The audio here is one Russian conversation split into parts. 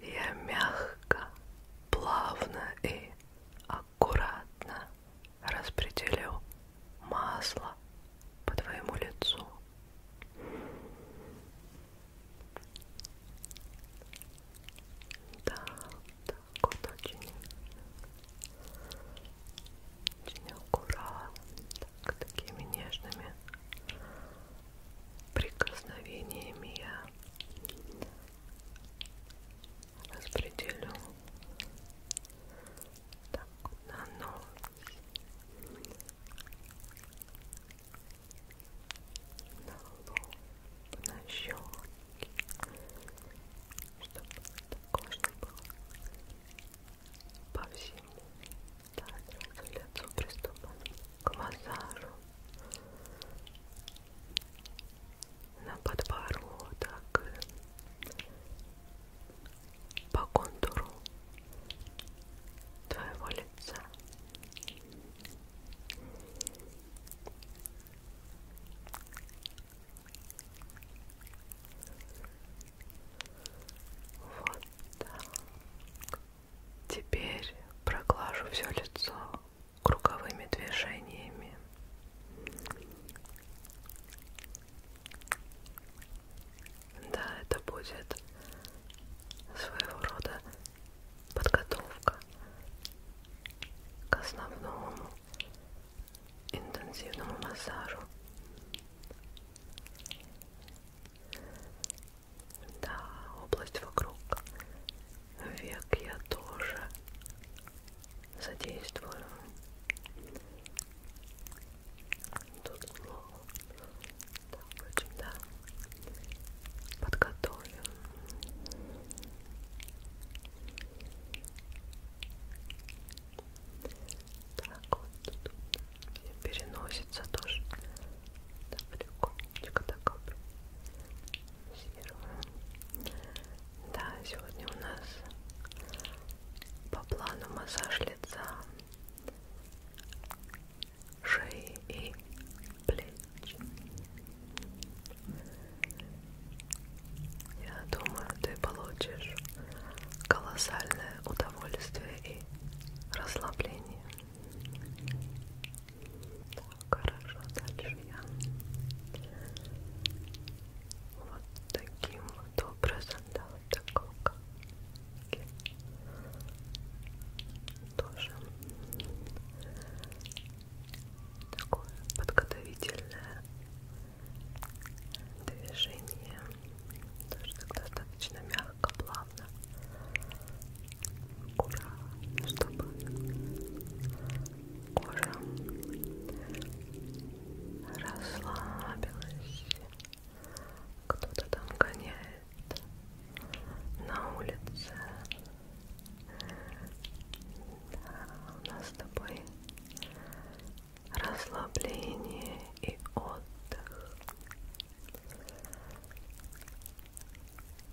Я мягко, плавно и аккуратно распределю масло по твоему лицу. Да, так вот очень, очень аккуратно, так, такими нежными прикосновениями я распределю так на нос на лоб, на щеки, чтобы это кожа была по всему да, сразу лицо приступом к массажу на подбородок по контуру твоего лица вот так Теперь проглажу все лицо круговыми движениями. Да, это будет своего рода подготовка к основному интенсивному массажу. Да, область вокруг век я тоже задействую. Тут лову. Так, впрочем, да. Подготовим. Так вот тут переносится тоже Далеконечко такой Да, сегодня у нас по плану массаж лица, шеи и плеч. Я думаю, ты получишь колоссальное удовольствие и расслабление. Так, хорошо, дальше я вот таким вот образом, да, вот такого как тоже такое подготовительное движение тоже так достаточно мягко, плавно плавно аккуратно, чтобы кожа расслабилась кто-то там гоняет на улице да, у нас с тобой расслабление и отдых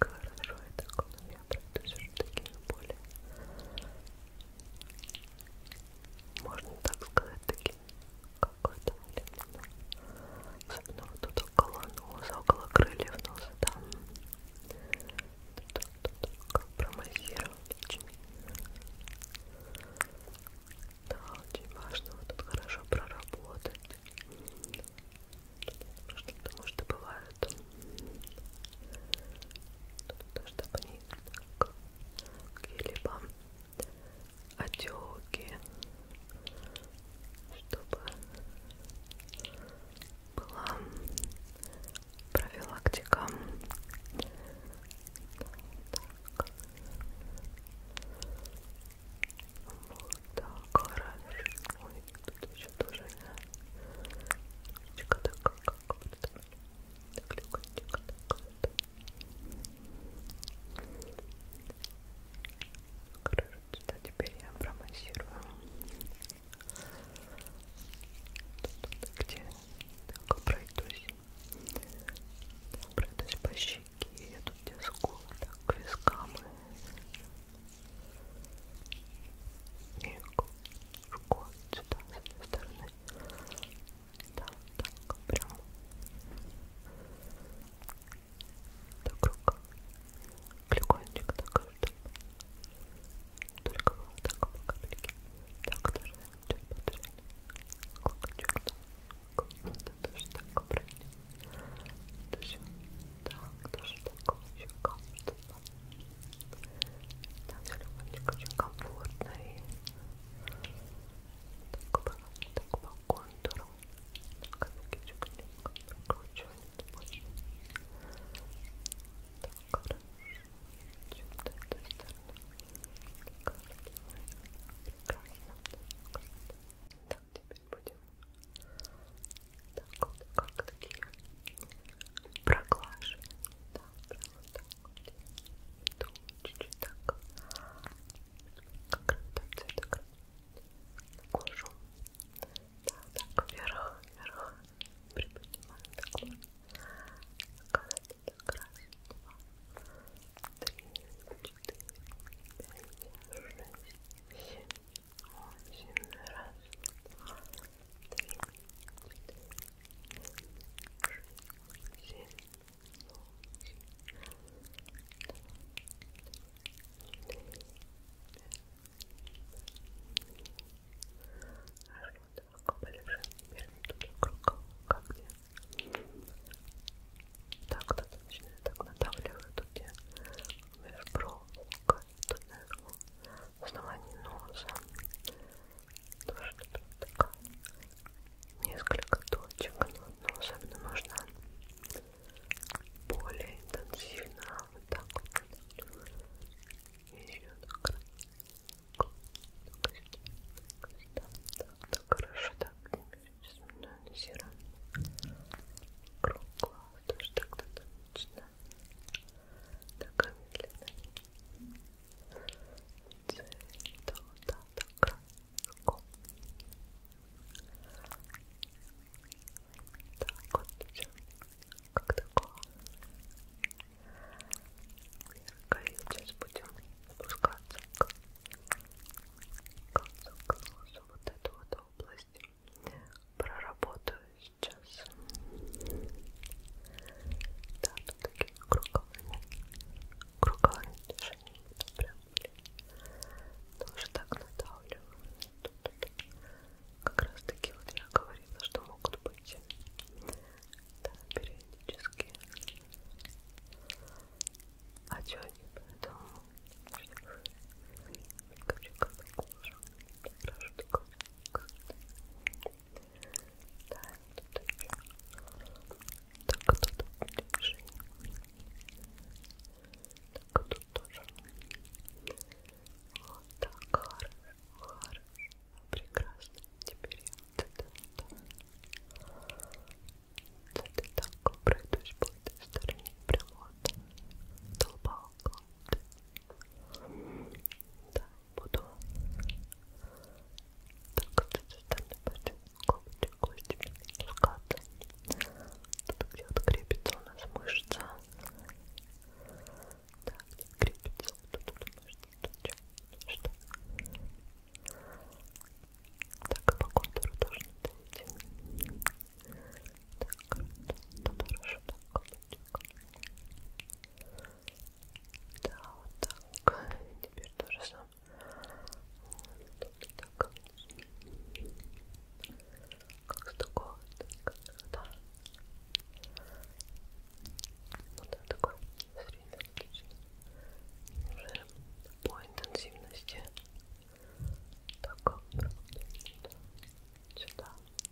Хорошо, я так но я пройду все-таки на более можно так сказать, таким какой-то лимоном. Особенно вот тут около носа, около крыльев носа, там как промассировал очень. Да, очень важно вот тут хорошо проработать. Потому что, потому что бывает бывают. Чтобы они какие-либо отеки, чтобы была профилактика. Так. Вот так хорошо. Ой, тут еще тоже Чика такая, как вот так легонечко так вот хорошо, сюда теперь я промассирую тут, где так пройдусь пройдусь по щеке, я тут где скулы, так к вискам и и немножко вот сюда, с этой стороны. Да, так, прям. Так, рука. Клюкончик такой, чтобы только было так по капельке. Так, даже чуть подряд. Клокочек так. Это тоже так, правильно. Это все. Так, тоже так, еще как-то. Там на любовник очень комфортно и так по, так по контуру. Так, ногичек немного прокручивает больше. Так, хорошо. Чем до этой стороны. Прекрасно. Так, теперь будем так вот, как такие проглаживаем. Да, прямо так вот. Чуть-чуть так. Как раз так цвета кожу. Да, так вверх, вверх. Приподнимаем такой. Так, так раз, два, три, четыре, пять, шесть, семь, восемь, раз, два, так, кто-то начинает так надавливать, тут я межбровка, тут на основании носа тоже -то такая несколько точек, но, но особенно нужно более интенсивно вот так вот еще так, так, так, так, так хорошо, так, сейчас мы серым кругло, тоже так достаточно такая медленная цвета краску так вот все как такое мягкое сейчас будем спускаться к концу к носу вот эту вот область проработаю сейчас. Да, тут такие круговыми, круговыми движениями прям тоже так надавливаю. Тут как раз таки вот я говорила, что могут быть да, периодически а отеки, поэтому хочу как кожу, хорошо такой да, тут еще. Так, тут ближе. Так, тут тоже. Вот так, хорошо, хорошо. Прекрасно. Теперь я вот это вот. Вот это так пройдусь по этой стороне. Прям вот. Долбалка. Вот. Да, буду так вот эти стали когти, кости спускаться. Тут где вот крепится у нас мышца. Да, где крепится вот тут мышца. Тут что? Так, и а по контуру тоже надо идти. Так, тут хорошо, так, копчик. Так, да, вот так. Теперь тоже сам. Вот так. Как с такого? Так. Да. Вот так, такой средний отличный. Уже по интенсивности. Так, сюда.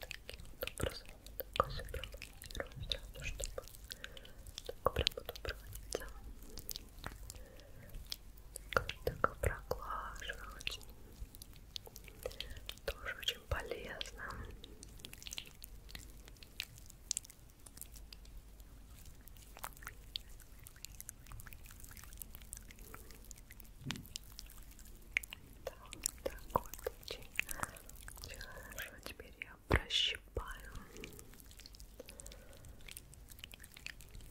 таким вот образом вот такой сформулируем сразу, чтобы так прямо добраться так, так проглаживать тоже очень полезно да, такой очень хорошо. Теперь я прощипаю.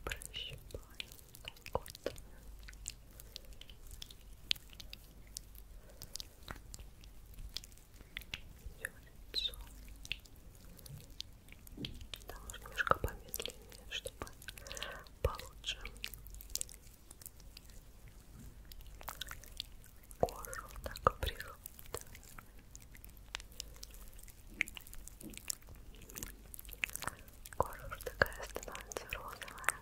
Прощипаю. Так вот. Все лицо. Да, может немножко помедленнее, чтобы получше кожу так прижимает. Кожа уже такая становится розовая.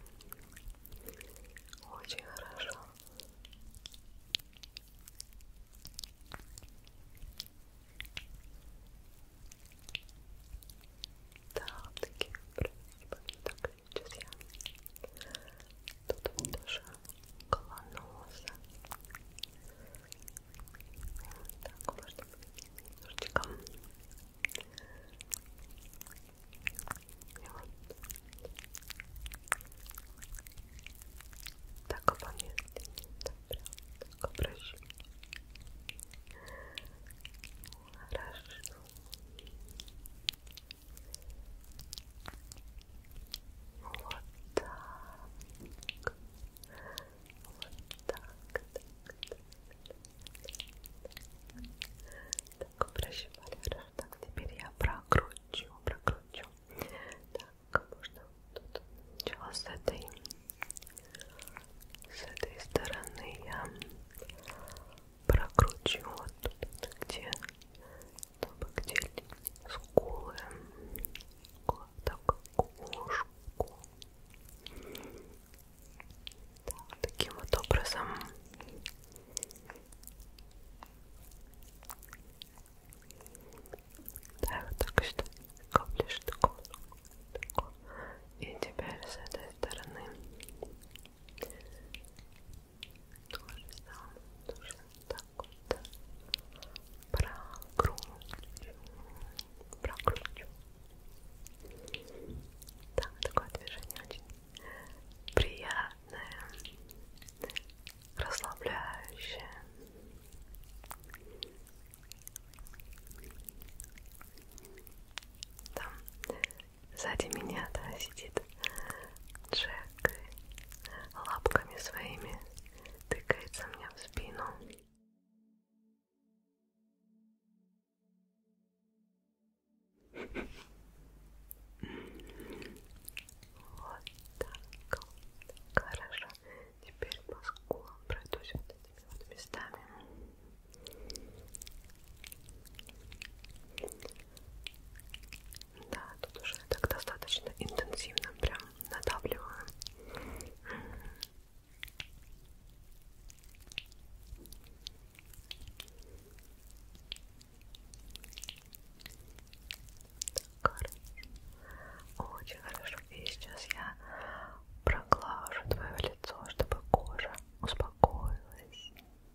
Очень хорошо. Да, такие красивые, так сейчас я тут вот даже колоноса так, можно немножечко и вот так помедленнее, так прям так обращу хорошо вот так. Вот так. Так, так прощевали раз. Так, теперь я прокручу, прокручу. Так, можно тут сначала с этой, с этой стороны я прокручу вот тут, где, чтобы где скулы, так, кошку. Да, таким вот образом. Да, вот так что коплишь такого. И теперь с этой стороны то же самое нужно так вот прокручу, прокручу. Там такое движение очень приятное, расслабляющее. Там Сзади меня, да, сидит Джек и лапками своими тыкается мне в спину. Вот так вот. Хорошо. Теперь по скулам пройдусь вот этими вот местами. Да, тут уже так достаточно интенсивно прям надавливаю. Так, хорошо. Очень хорошо. И сейчас я проглажу твое лицо, чтобы кожа успокоилась.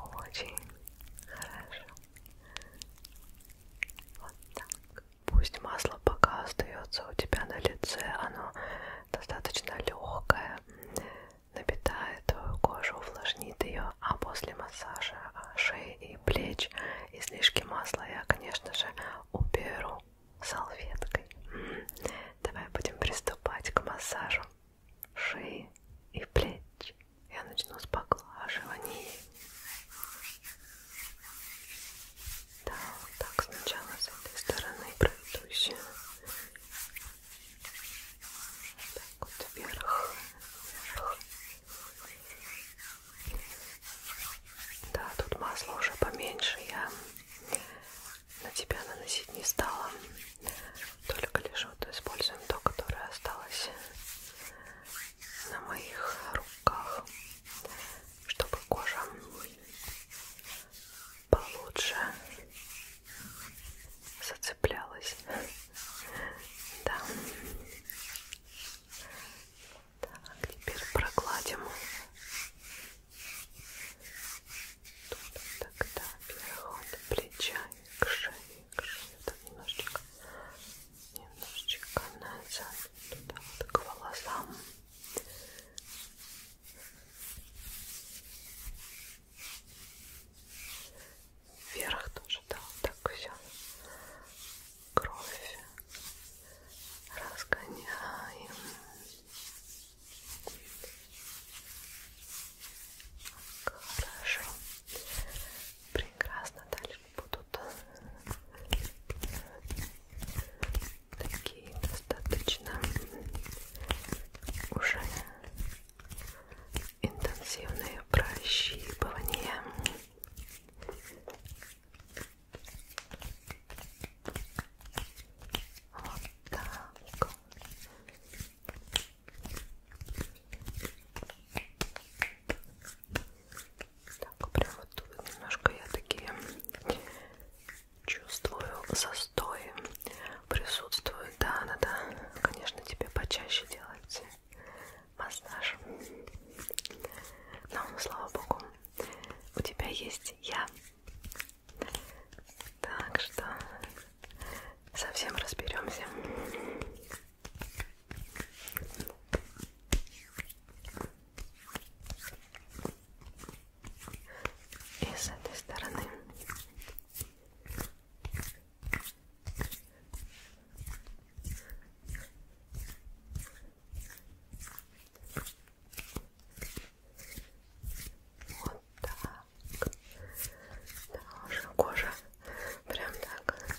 Очень хорошо. Вот так. Пусть масло пока остается у тебя на лице, оно достаточно легкое, напитает твою кожу, увлажнит ее, а после массажа а, шеи и плеч, излишки масла я, конечно же, уберу салфеткой. М-м. Давай будем приступать к массажу шеи и плеч. Я начну с поглаживаний. Да, вот так сначала с этой стороны пройдусь. Так вот вверх, вверх, да, тут масло уже поменьше, я на тебя наносить не стала. Только лишь вот используем то, которое осталось на моих руках, чтобы кожа получше зацеплялась. Да. Так, теперь прокладим. Тут, тогда переход плеча к шее, к шее. Так, немножечко, немножечко назад, туда вот к волосам вверх тоже, да, вот так все кровь разгоняем хорошо прекрасно дальше будут такие достаточно уже интенсивные прощипывания вот так. Так, прям вот тут немножко я такие чувствую застои присутствуют. Да, надо, конечно, тебе почаще делать массаж. Но, слава богу, у тебя есть я. Так что совсем разберемся. И с этой стороны. Вот так. Да, уже кожа прям так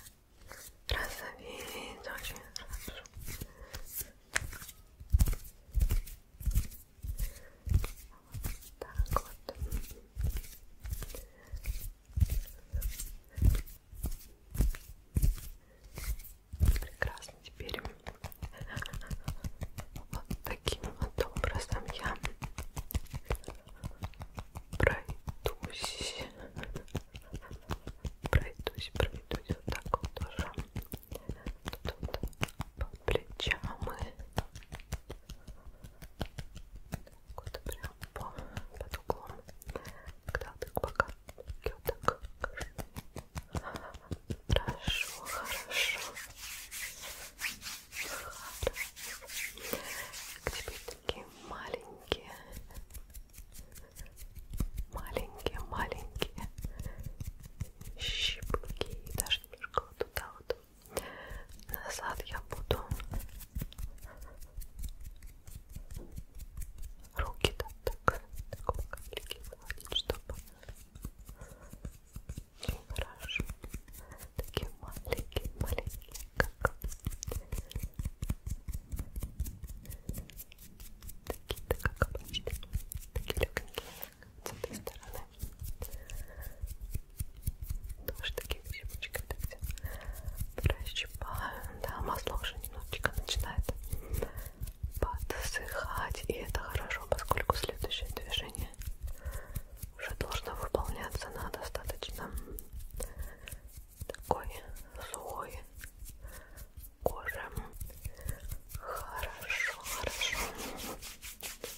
розовеет очень хорошо. Вот так вот. Прекрасно теперь. Вот таким вот образом я пройдусь. Пройдусь, пройдусь вот так вот тоже. Тут вот по плечам и так вот прям по, под углом, когда ты пока так хорошо, хорошо, хорошо. Теперь такие маленькие, маленькие, маленькие щипки и даже немножко вот туда вот назад я буду руки там так, так легкие гладить, чтобы хорошо, такие маленькие, маленькие, как такие-то, как обычно, такие легенькие с этой стороны. Тоже такие грибочки, это все расщипаю, да, масло уже немножечко начинает подсыхать, и это хорошо, поскольку следующее движение уже должно выполняться на достаточно такой сухой коже. Хорошо, хорошо. Так,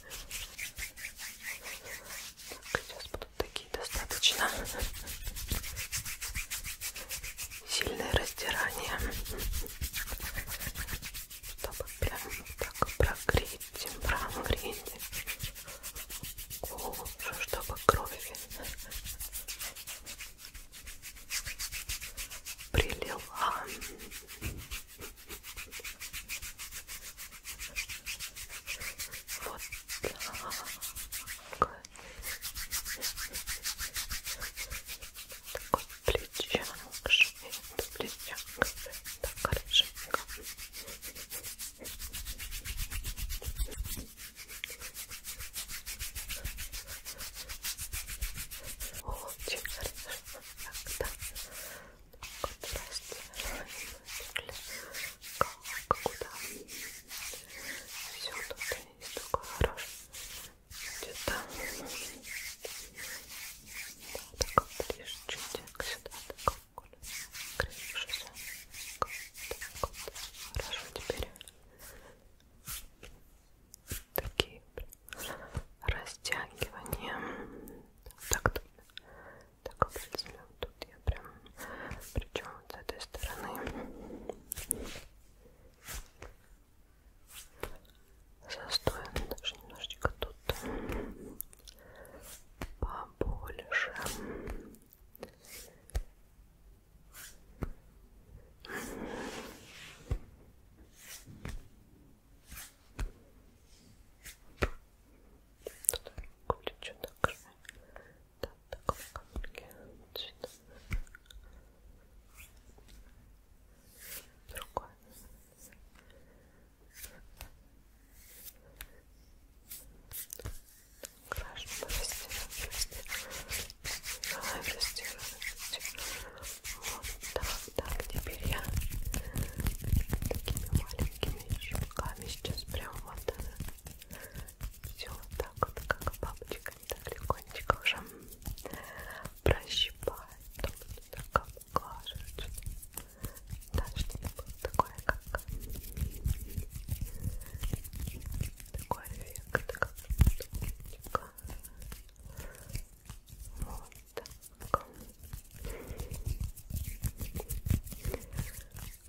сейчас тут такие достаточно сильные раздирания чтобы прям так прогреть прогреть кожу, чтобы кровь прилила вот так такой плечонок, швед, плечонок, так хорошенько. Очень хорошо, так, да. Как, куда? Все тут не столько хорош. Где-то да, так ближе чуть-чуть сюда, так вот, крышусь. Так вот, хорошо, теперь такие растягивания. Так, так, так, вот, тут я прям причем вот с этой стороны застой даже немножечко тут побольше Тут что-то так, капельки вот сюда. Другой. Хорошо, растираем, растираем. Давай растираем, растираем. Вот так, так, теперь я такими маленькими щелками сейчас прям вот э, все вот так вот, как бабочка так легонечко уже прощипает, там так обглаживает, да, что-нибудь такое, как такой эффект, как легонечко. Вот так.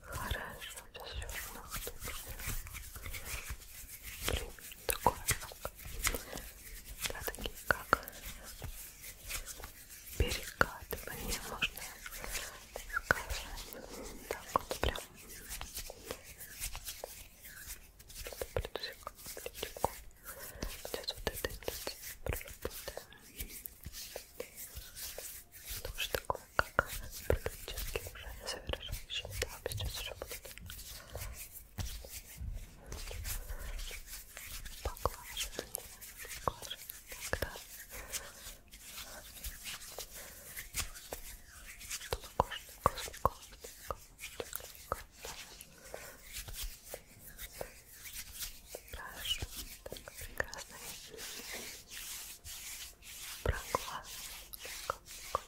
Хорошо такое, да, такие как перекатывание можно сказать, так вот прям плитку, плитку. Сейчас вот это проработаем. Тоже такое как практически уже совершающие да, сейчас уже будут поглаживать, поглаживать иногда чтобы кожа не коснулась Прошу, так прекрасно проглаживать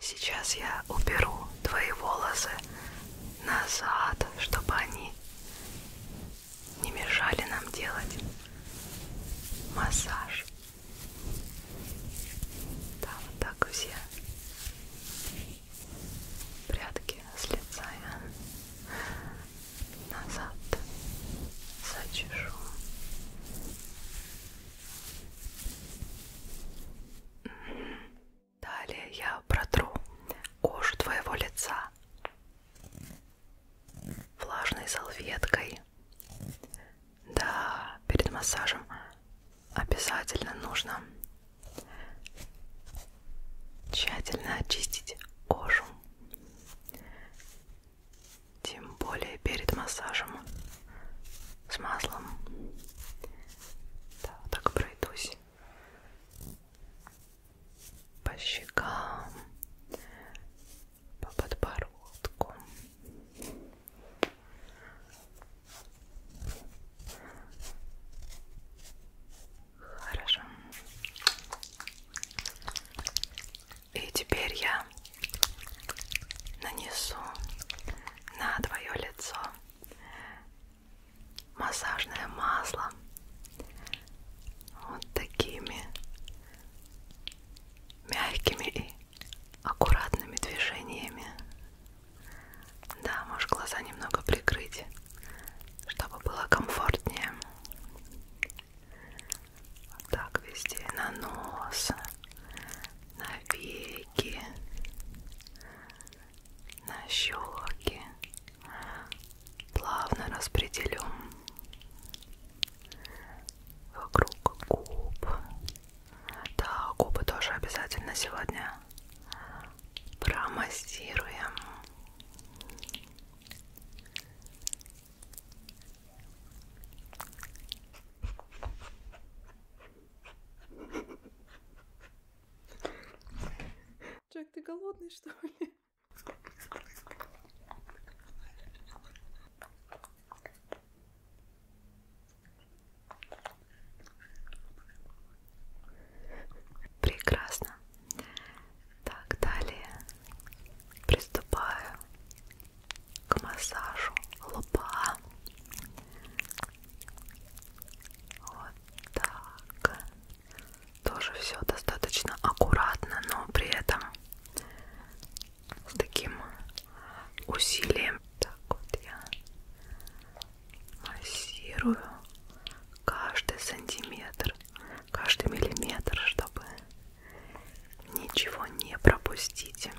Сейчас я уберу твои волосы назад, чтобы они не мешали нам делать массаж. Да, вот так все прятки с лица я назад зачешу далее я протру кожу твоего лица влажной салфеткой да перед массажем обязательно нужно тщательно очистить кожу, тем более перед массажем с маслом. Да, вот так пройдусь по щекам, по подбородку. Хорошо. И теперь я нанесу на твое лицо массажное масло вот такими мягкими и аккуратными движениями. Да, можешь глаза немного прикрыть, чтобы было комфортнее. Вот так везде, на нос, на веки, на щеки. Плавно распределю вокруг губ. Да, губы тоже обязательно сегодня промассируем. Джек, ты голодный, что ли? Прекрасно. Так, далее приступаю к массажу лба. Вот так. Тоже все достаточно аккуратно, но при этом с таким усилием. Так вот я массирую каждый сантиметр каждый миллиметр, чтобы ничего не пропустить.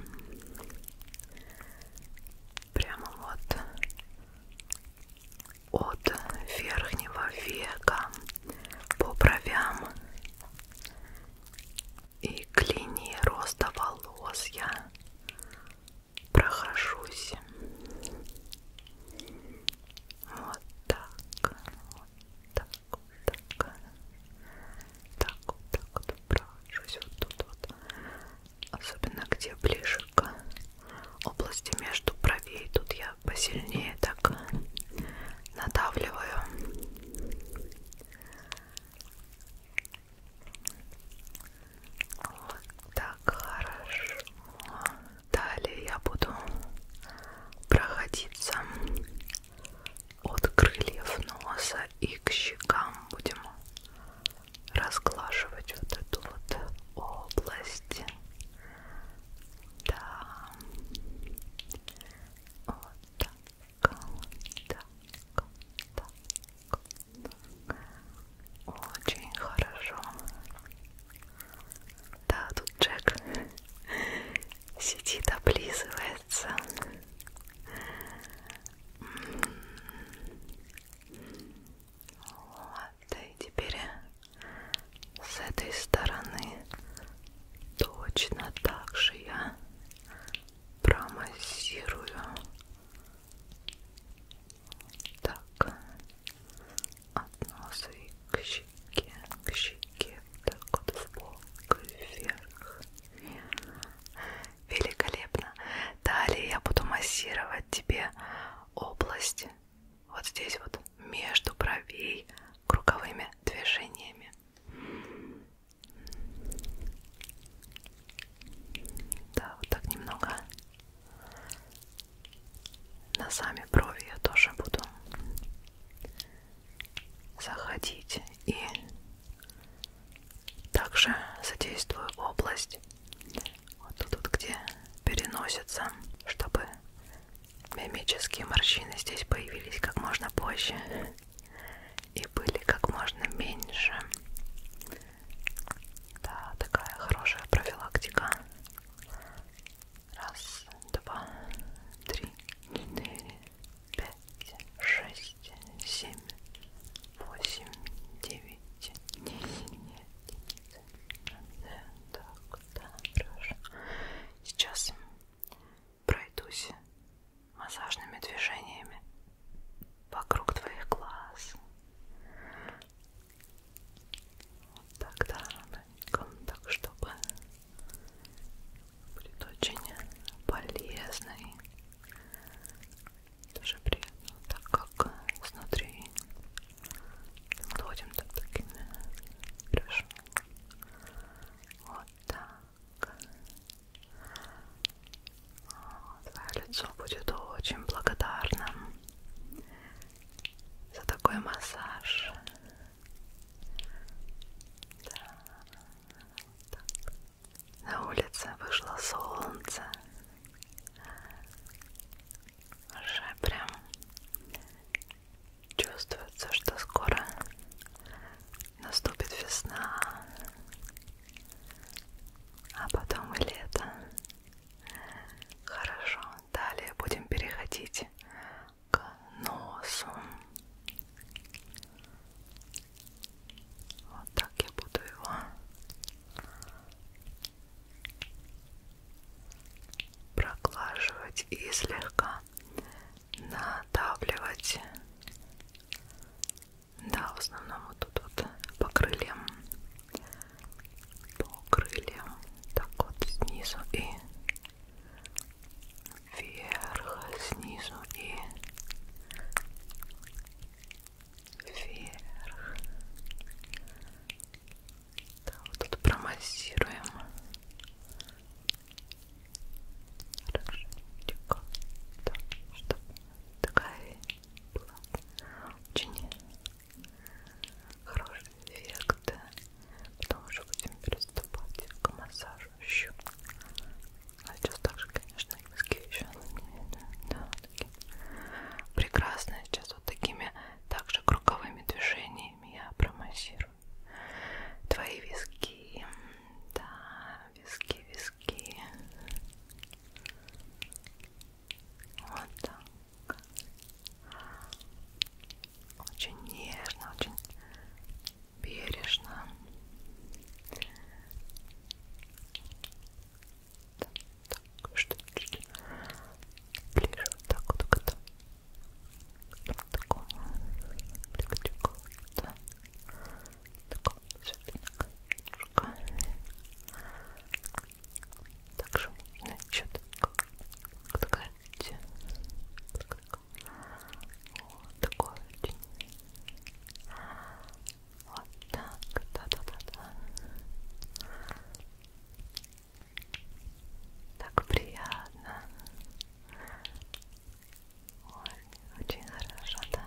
Прямо вот от верхнего века по бровям и к линии роста волос я прохожусь вот так так вот так так вот так вот прочусь вот тут вот особенно где ближе к области между бровей тут я посильнее так надавливаю вот так хорошо Далее я буду проходиться от крыльев носа и к щекам будем разглаживать вот эту вот область. Да. Вот так. Так. Так. Очень хорошо. Да, тут Джек сидит, облизывается. Вот, и теперь с этой стороны точно так же я промассирую. Так, от носа и к щеке, к щеке, так вот в бок и вверх. Великолепно. Далее я буду массировать тебе область вот здесь вот между бровей круговыми движениями. Да, вот так немного. На сами брови я тоже буду заходить и также задействую область вот тут вот где переносится чтобы мимические морщины здесь появились как можно позже и были как можно меньше да такая хорошая профилактика Раз, два, три, четыре, пять, шесть, семь, восемь, девять, десять. Нет, так, да, хорошо. Сейчас пройдусь массажными движениями вокруг твоих глаз. Вот так, да, так, чтобы будет очень полезный, даже приятно, так как изнутри доводим так такими хорошо. Вот так. Твое лицо будет очень благодарным за такой массаж. Да, вот так. На улице вышло солнце. Уже прям чувствуется, что скоро наступит весна, а потом и лето. Хорошо, далее будем переходить к носу. Вот так я буду его проглаживать и слегка надавливать. Да, в основном вот тут вот по крыльям. По крыльям. Так вот снизу и вверх, снизу и вверх. Да, вот тут промассируем. Хорошенько. Да, чтобы такая была очень хороший эффект. Потом уже будем приступать к массажу еще. А сейчас также, конечно, и виски еще да, такие. Прекрасно. Сейчас вот такими также круговыми движениями я промассирую твои виски. Да, виски, виски. Вот так. Очень нежно, очень бережно так, что чуть ближе вот так вот к этому вот такому легчику да такому светленькому также можно еще так, подгадить подгадить немножко. Вот такой очень. Вот так, да-да-да-да. Так приятно. Ой, очень хорошо, да.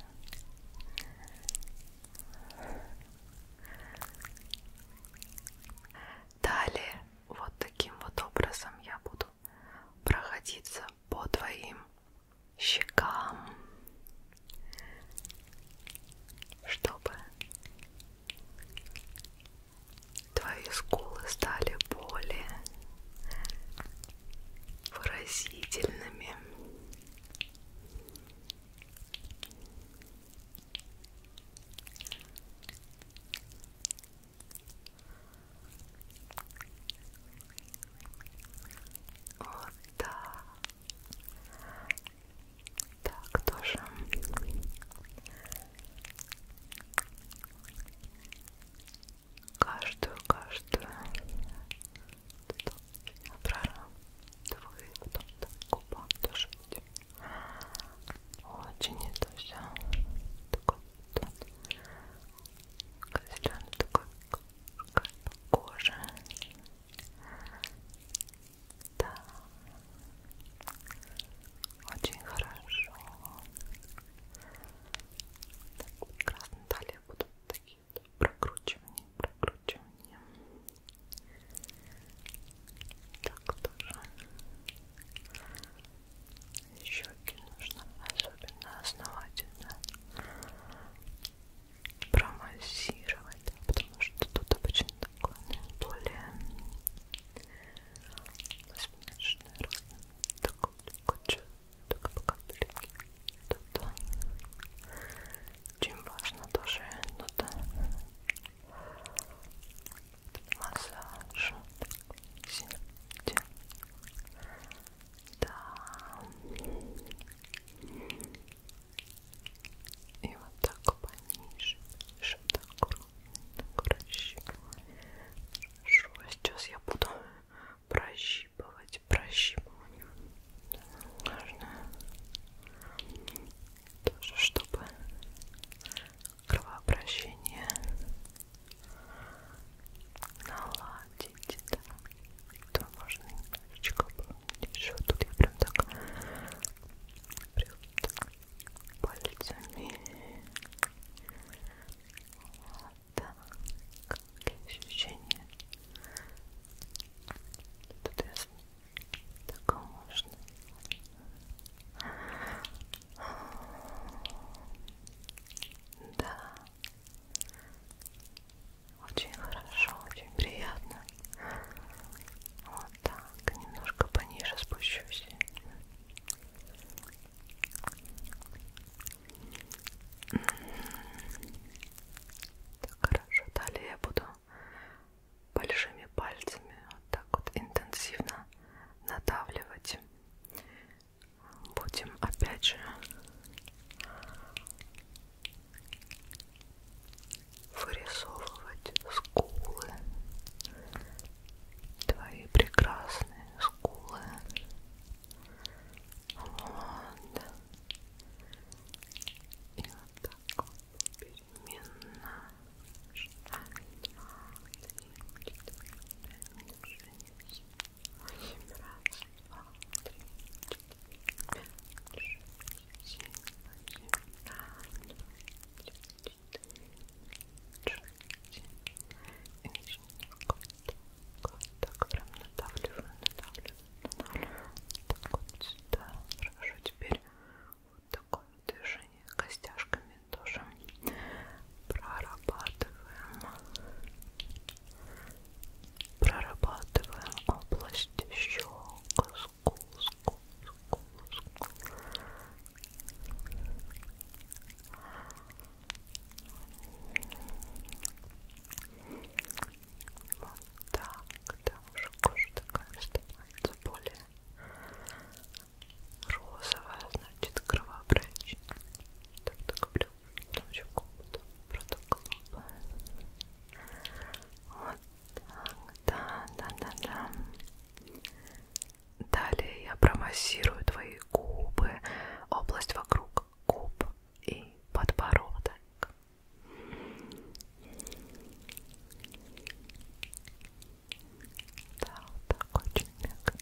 Далее вот таким вот образом я буду будут проходиться по твоим щекам, чтобы твои скулы стали более выразительными. Вот да. Так тоже. Каждую, каждую. Правильно. Давай потом так губам тоже будем. Очень это все. Такой вот зеленый такой кожа. Да. Очень хорошо. Так, прекрасно. Далее будут такие прокручивания, прокручивания. Так тоже щеки нужно особенно основательно промассировать, потому что тут обычно такое наиболее смешное разное. Такое куча, только по капельке. Тут очень а, важно тоже тут массаж сентябрь. Да. И вот так пониже, еще так ровно, Хорошо, сейчас я буду прощипывать, прощипывание. Важно тоже, чтобы кровообращение наладить, да, то можно немножечко еще тут я прям так прям так пальцами вот так какие ощущения тут я так можно да. Очень хорошо, очень приятно. Вот так. Немножко пониже спущусь. Так, хорошо. Далее я буду большими пальцами вот так вот интенсивно надавливать будем опять же вырисовывать скулы, твои прекрасные скулы. Вот. И вот так вот переменно. Раз, два, три, четыре, пять, шесть, один раз, два, три, четыре, пять, шесть, семь, восемь, девять, четыре, шесть. И начинаю кот, кот, так прям надавливаю, надавливаю, надавливаю. Так вот сюда. Хорошо, теперь вот такое движение костяшками тоже прорабатываем прорабатываем область щек скул, скул, скул, скул. Вот так, там уже кожа такая становится более розовая, значит, кровообращение. Так, так, блю. Тоже комнату протоколом. Вот так, да, да, да, да. Далее я промассирую твои губы, область вокруг губ и подбородок. Да, вот так очень мягко.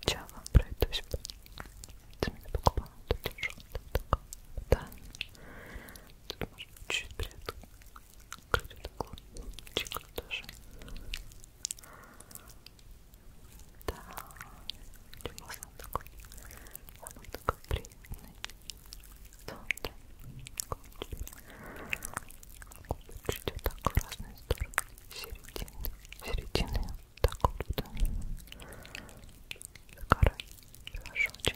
Сначала пройдусь. Ты меня покупала, ты держал, да. Тут можно чуть-чуть приоткрыть углу. Чикла тоже. Да. Чего сам такой? Он такой приятный. Да, да. Губы чуть вот так в разные стороны. Середины. Середины так вот за горой тоже очень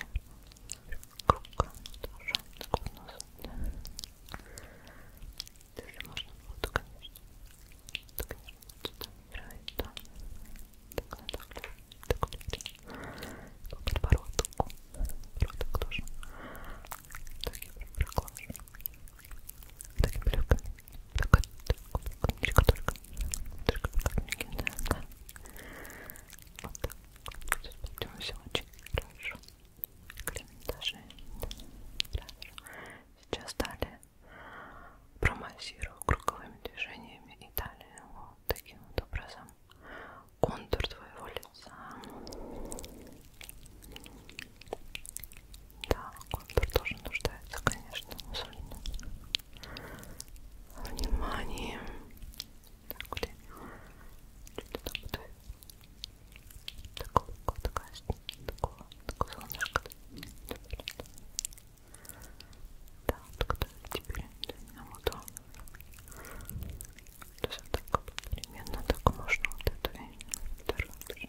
круг тоже так вот нос даже можно было то конечно то конечно что-то играет да так на так так вот подбородок подбородок тоже так я прям прокладываю таким плюшками. Такой кубочек только. Только покормленький, да. Вот так. Тут все очень хорошо. Комментажи. Хорошо. Сейчас далее промассирую круговыми движениями и далее вот таким вот образом контур твоего лица да, контур тоже нуждается, конечно, в абсолютно. Внимание. Так, где? Что-то там вот. Такого, такая, такого, такого солнышка. Да, так да, теперь нам вот то. То есть так, примерно так можно вот эту вторую.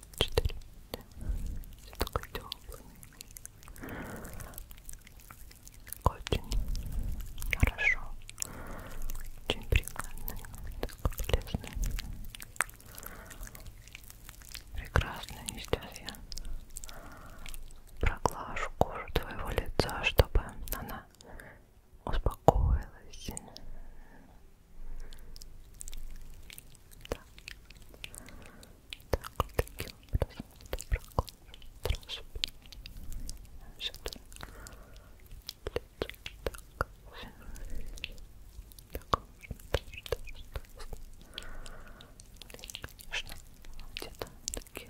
четыре такой теплый очень хорошо очень прикольный такой полезный прекрасно и сейчас я проглажу кожу твоего лица чтобы она успокоилась так. Так, вот таким образом это проходит. Сюда. Так, все. Так, можно тоже, тоже, тоже. И, конечно, где-то такие.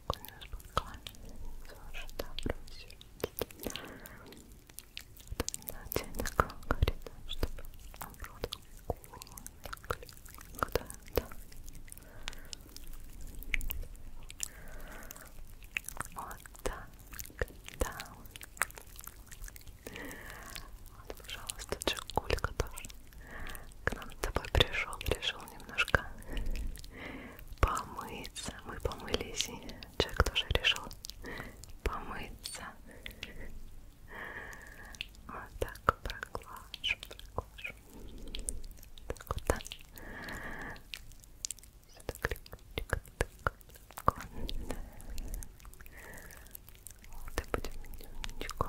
спокойно, спокойно, слушай, добро все. Оттенок говорит, чтобы оброд когда да. Вот так, да. Вот, пожалуйста, Джигулька тоже к нам с тобой пришел, решил немножко помыться. Мы помылись, и человек тоже решил помыться. Вот так проглажу, проглажу. Так вот, да. Сюда клик-клик, так, так, вот и будем немножечко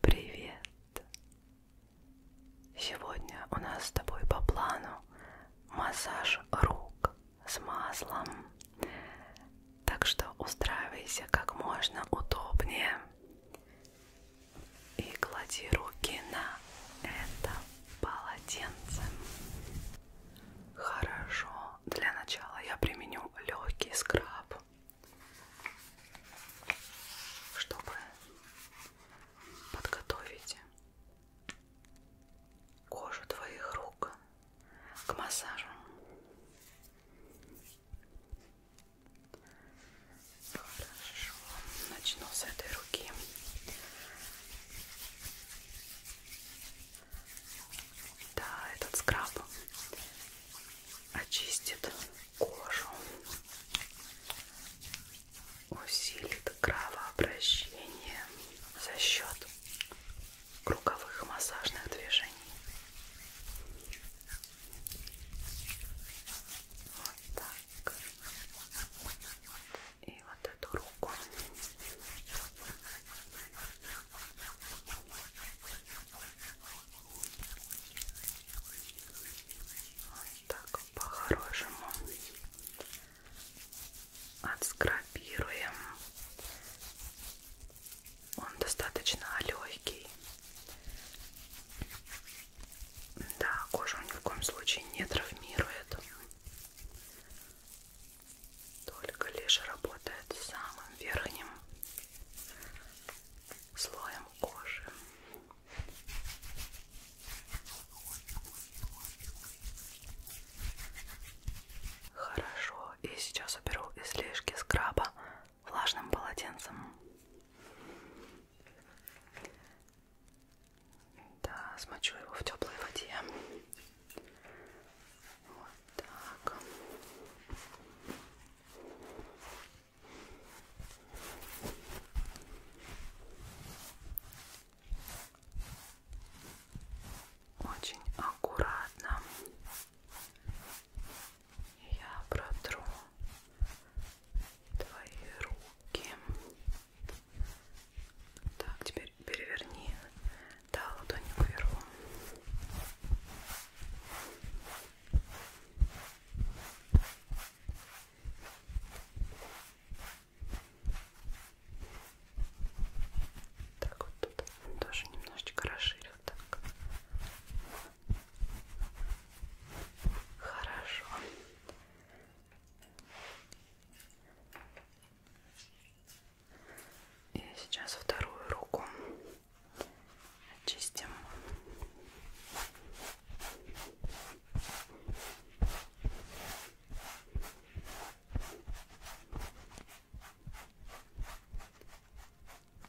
Привет! Сегодня у нас с тобой по плану массаж рук с маслом. Так что устраивайся как можно удобнее и клади руки на это полотенце. Хорошо. Для начала я применю легкий скраб, чтобы подготовить кожу твоих рук к массажу. Хорошо. Начну с этой руки. Да, этот скраб очистит кожу, усилит кровообращение за счет круговых массажных движений. Вот так. И вот эту руку. Вот так по-хорошему отскрабируем. Он достаточно легкий. Да, кожу ни в коем случае не травмирует. Только лишь работает с самым верхним слоем кожи. Хорошо, и сейчас уберу излишки скраба влажным полотенцем. Да, смочу его в теплой воде. Вот так. Очень аккуратно я протру твои руки. Так, теперь переверни. Да, ладонью кверху. Так вот тут тоже немножечко расширю так. Хорошо. И сейчас вторую руку очистим.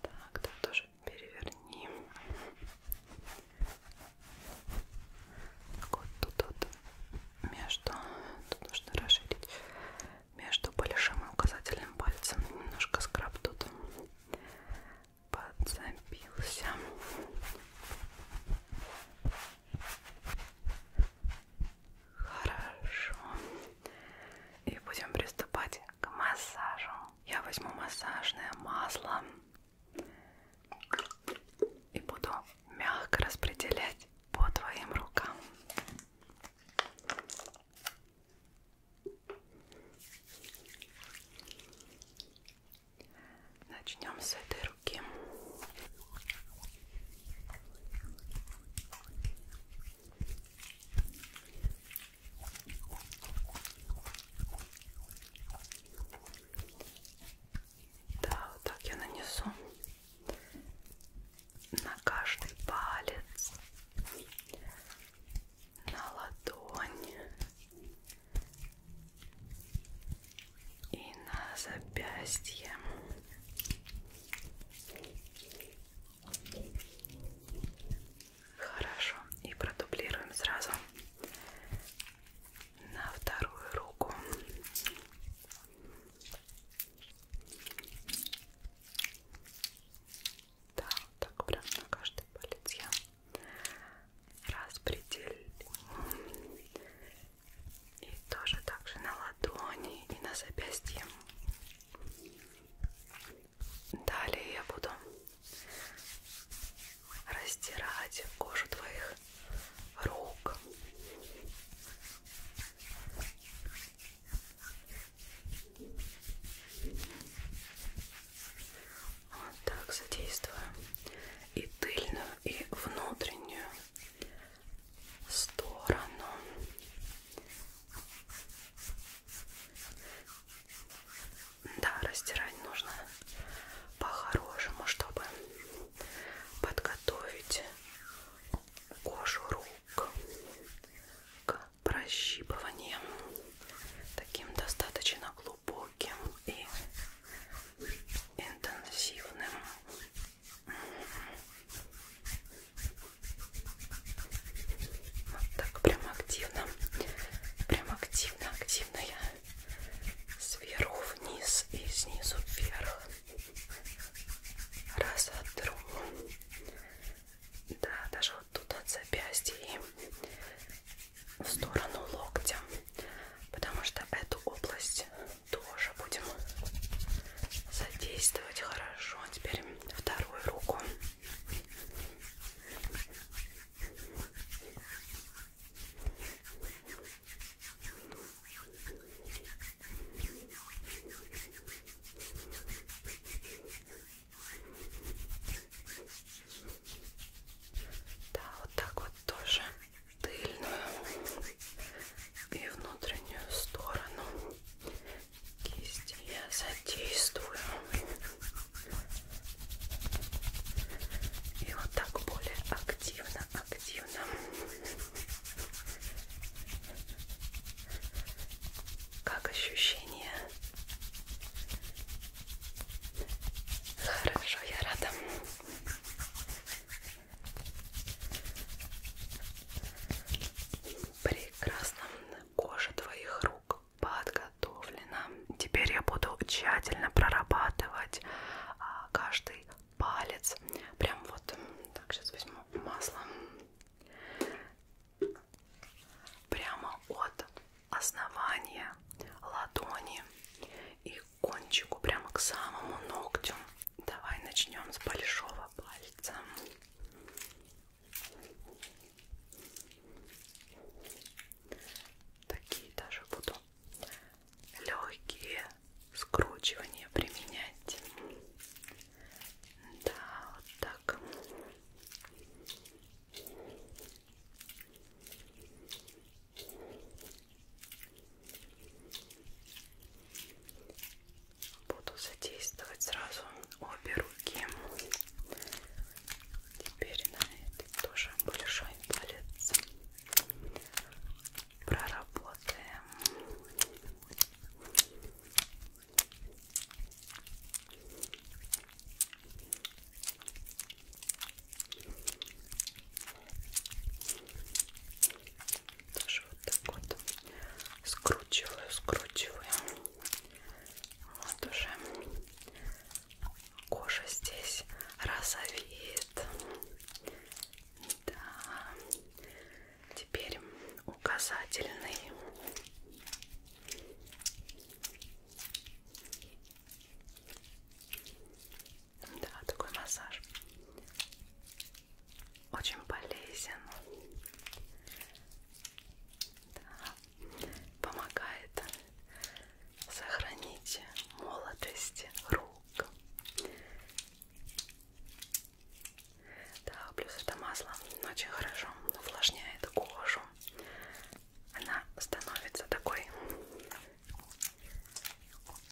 Так, тут тоже переверни. Так, вот тут вот между, тут нужно расширить между большим и указательным пальцем немножко скраб тут подзабился. Хорошо. И будем приступать к массажу. Я возьму массажное масло и буду мягко распределять по твоим рукам. Начнем с этой руки. Да, вот так я нанесу на каждый палец, на ладонь и на запястье. Хорошо, и продублируем сразу на вторую руку. Да, вот так прям на каждый палец я распределю. И тоже также на ладони и на запястье. Далее я буду растирать кожу твоих рук. Вот так задействую и тыльную, и внутреннюю сторону да, растирать нужно по-хорошему, чтобы подготовить кожу рук к прощипыванию таким достаточно глубоким и интенсивным вот так прям активно, прям активно, активно я сверху вниз и снизу вверх раз отру. Да, даже вот тут от запястья и в сторону локтя, потому что эту область тоже будем задействовать хорошо. Теперь вторую руку. Да, вот так вот тоже тыльную и внутреннюю сторону кисти я задействую и вот так более активно активно как ощущение хорошо я рада Прекрасно. Кожа твоих рук подготовлена. Теперь я буду тщательно прорабатывать а, каждый палец. Прям вот так сейчас возьму масло. Прямо от основания ладони и кончику, прямо к самому ногтю. Давай начнем с большого пальца. Такие даже буду легкие скручивания применять. Да, вот так. Буду задействовать сразу обе руки. Теперь на этой тоже большой палец. Проработаем. Тоже тоже вот так вот скручиваю, скручиваю. Вот уже кожа здесь розовеет. Да. Теперь указательный. Да, такой массаж очень полезен, да. помогает сохранить молодость рук. Да, плюс это масло очень хорошо увлажняет кожу. Она становится такой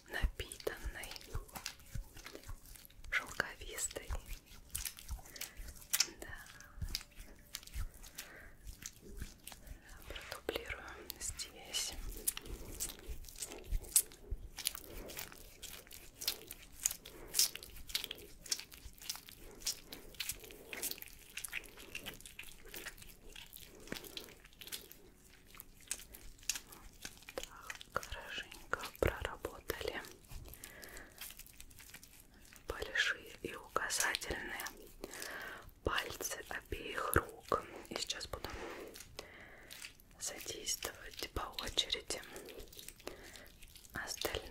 напитанной, шелковистой. Да. Продублируем здесь. Так, хорошенько проработали большие и указательные пальцы обеих рук. И сейчас буду задействовать по очереди остальные.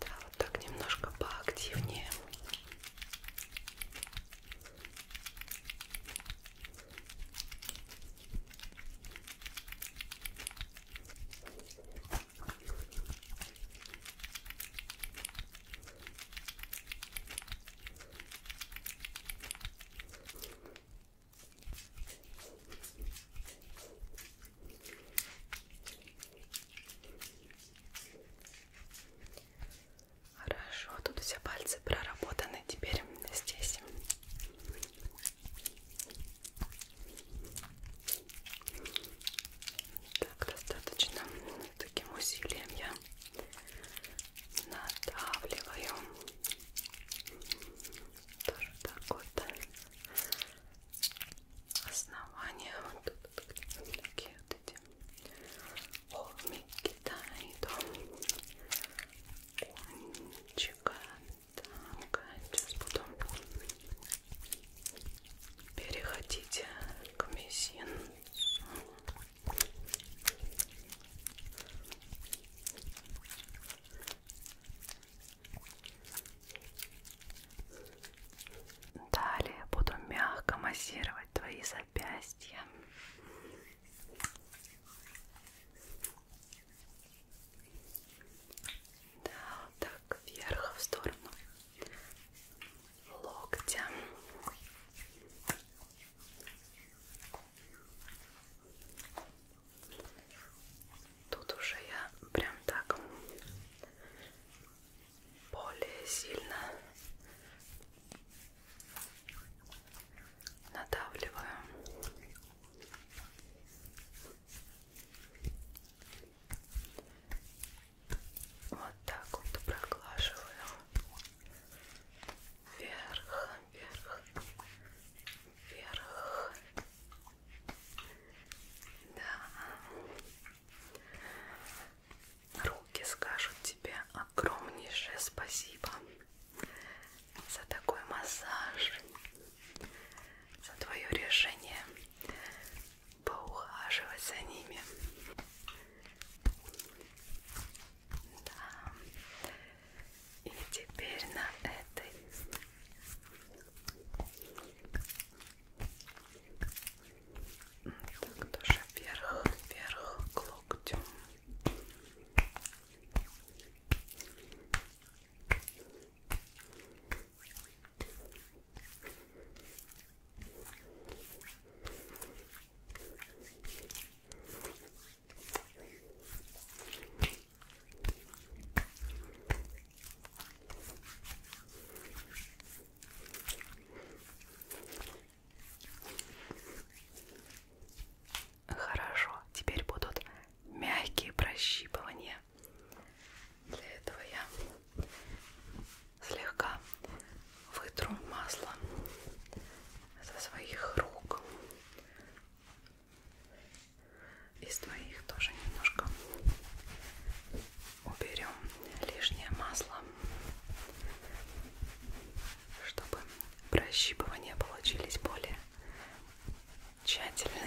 Да, вот так немножко поактивнее. Хорошо, тут все пальцы проработаны теперь здесь. Так, достаточно таким усилием я надавливаю тоже так вот основание вот тут такие вот эти холмики да и до кончика так сейчас буду переходить к мизинцу Далее буду мягко массировать твои запястья. Да, вот так вверх в сторону локтя. Тут уже я прям так более сильно надавливаю. Вот так вот проглаживаю вверх, вверх, вверх. Да. Руки скажут тебе огромнейшее спасибо за такой массаж, за твое решение поухаживать за ними. Да. И теперь на этой так тоже вверх, вверх к локтю. Хорошо, теперь будут мягкие прощипывания. Для этого я слегка вытру масло со своих рук из твоих тоже немножко уберем лишнее масло чтобы прощипывания получились более тщательными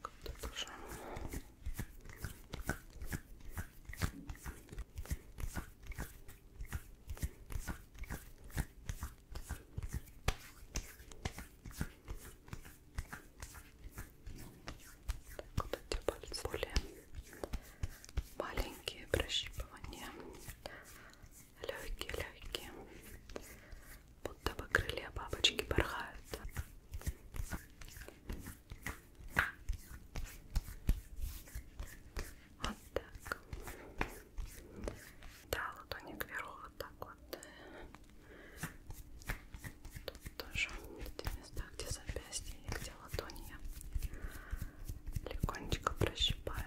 Как-то тоже. Так, вот эти пальцы более маленькие прощипывания, легкие-легкие, будто бы крылья бабочки порхают. Вот так. Да, ладони кверху вот так вот. Тут тоже эти места, где запястье и где ладони я легонечко прощипаю.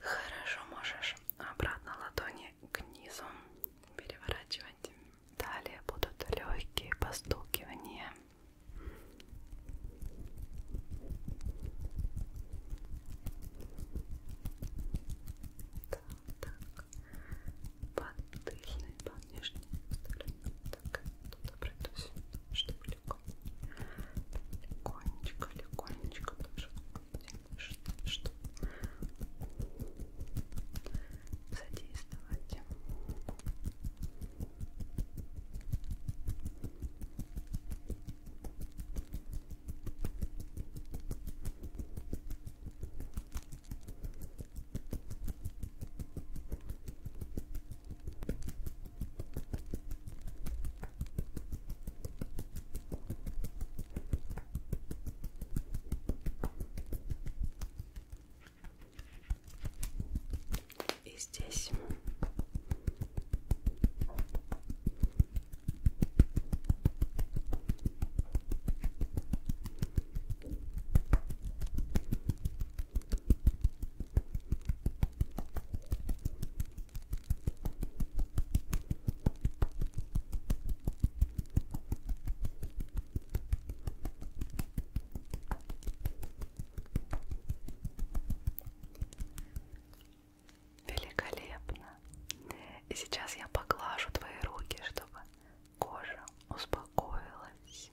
Хорошо, можешь обратно ладони к низу переворачивать. Далее будут легкие постукивания. Так, так. Под тыльной, под нижней стороной. Так, туда пройдусь чтобы легко, легонечко, легонечко, что, что задействовать. И здесь. Великолепно. И сейчас я поглажу твои руки, чтобы кожа успокоилась.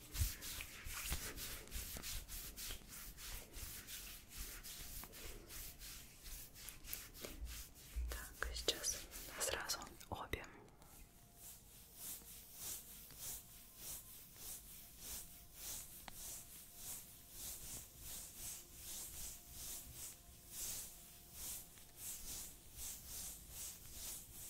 Так, сейчас сразу обе. Так,